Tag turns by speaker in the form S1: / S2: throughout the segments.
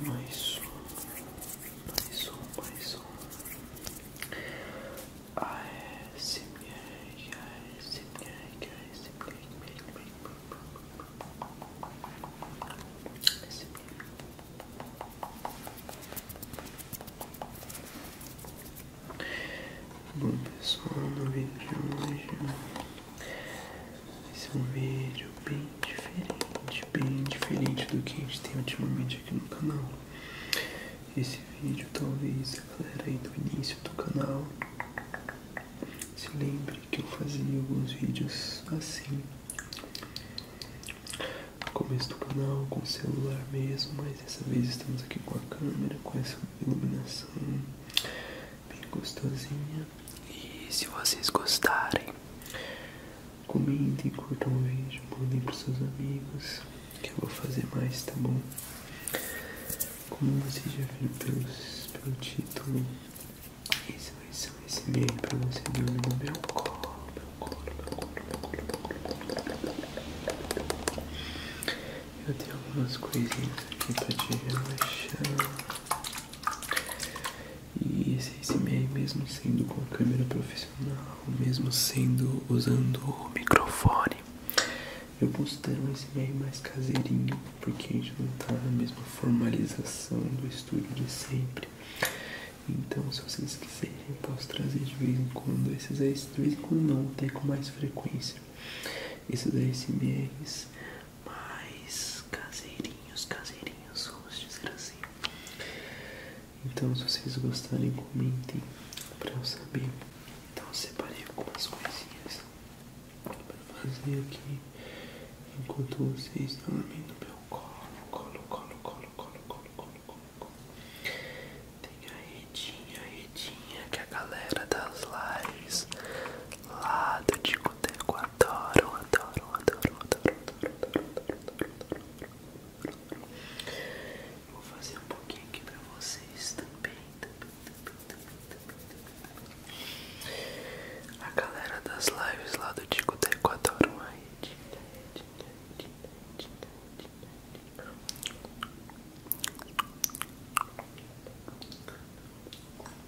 S1: mais um, mais um, mais ai sim sim sim um. ASMR, ASMR, sim Bom pessoal, no sim de hoje esse é um vídeo bem diferente, bem diferente do que a gente tem ultimamente aqui no canal. Esse vídeo talvez a galera aí do início do canal se lembre que eu fazia alguns vídeos assim. No começo do canal com celular mesmo, mas dessa vez estamos aqui com a câmera, com essa iluminação bem gostosinha e se vocês gostarem, comentem, curtam o vídeo, mandem pros seus amigos, que eu vou fazer mais, tá bom? Como vocês já viram pelos, pelo título, esse vai ser um SMA pra você dormir no meu colo, meu é colo, meu colo, meu colo, meu colo, meu colo. Eu tenho algumas coisinhas aqui pra te relaxar. E esse ASMR, mesmo sendo com câmera profissional, mesmo sendo usando o microfone, eu postei um ASMR mais caseirinho, porque a gente não está na mesma formalização do estúdio de sempre. Então, se vocês quiserem, eu posso trazer de vez em quando esses aí, de vez em quando não, até com mais frequência. Esses ASMRs mais caseirinhos, caseirinhos, vamos dizer assim. Então, se vocês gostarem, comentem pra eu saber. Então, separei algumas coisinhas pra fazer aqui enquanto vocês dormem no meu colo, colo, colo, colo, colo, colo, colo, colo, Tem a redinha, redinha que a galera das lives lá do Tico Deco, adoro, adoro, adoro, adoro, adoro, adoro, adoro, adoro. Vou fazer um pouquinho aqui pra vocês também, também, também, também, também, também. A galera das lives lá do Tico Deco adoram aí. Vou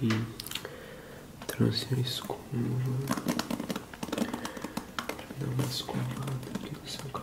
S1: Também trouxe escuro escova pra dar uma escovada aqui no seu cabelo.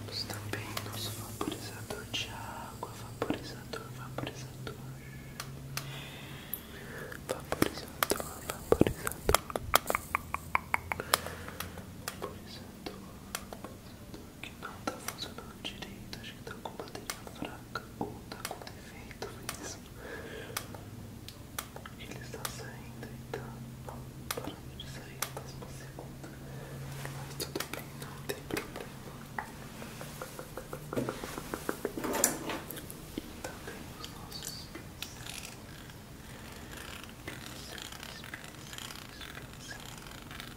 S1: Temos também nosso vaporizador de água, vaporizador, vaporizador, vaporizador, vaporizador, vaporizador. Vaporizador, vaporizador, que não tá funcionando direito, acho que tá com bateria fraca ou tá com defeito mesmo. Ele está saindo e então, tá parando de sair no mesmo segundo. Mas tudo bem, não tem problema. E então, também os nossos pincéis. Pincéis, pincéis, pincéis.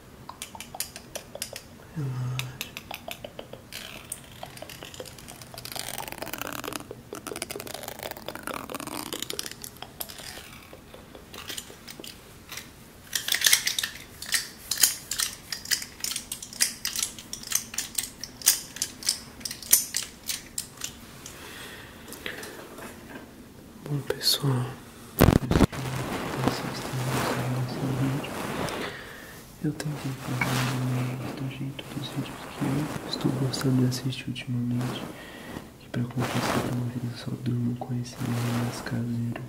S1: Relaxa. Bom pessoal. Eu tentei fazer um vídeo do jeito dos vídeos que eu estou gostando de assistir ultimamente. Que pra confessar pra vocês só durmo com esse mais caseiro.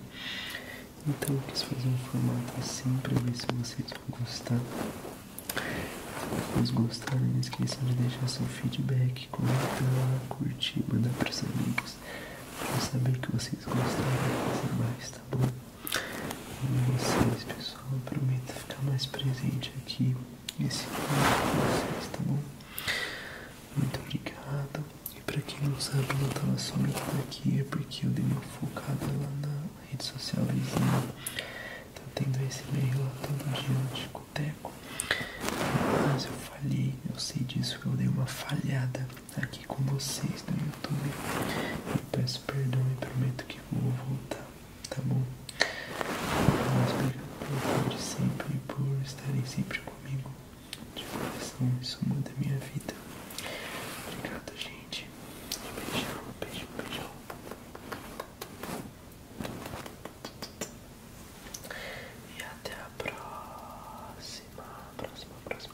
S1: Então eu quis fazer um formato assim para ver se vocês vão gostar. Se vocês gostaram, não esqueçam de deixar seu feedback, comentar, curtir, mandar para os amigos vídeos saber que vocês gostaram de fazer mais, tá bom? E vocês, pessoal, prometo ficar mais presente aqui nesse vídeo com vocês, tá bom? Muito obrigado. E pra quem não sabe, eu não tava somente aqui, é porque eu dei uma focada lá na rede social vizinha. Tá tendo esse meio lá todo dia no discoteco. Mas eu falhei, eu sei disso, eu dei uma falhada aqui com vocês no né? YouTube. Eu peço perdão e prometo que vou voltar, tá bom? Mas obrigado pelo apoio de sempre e por estarem sempre comigo. De coração, isso muda a minha vida. Obrigado, gente. Beijão, beijão beijão. E até a próxima, próxima, próxima.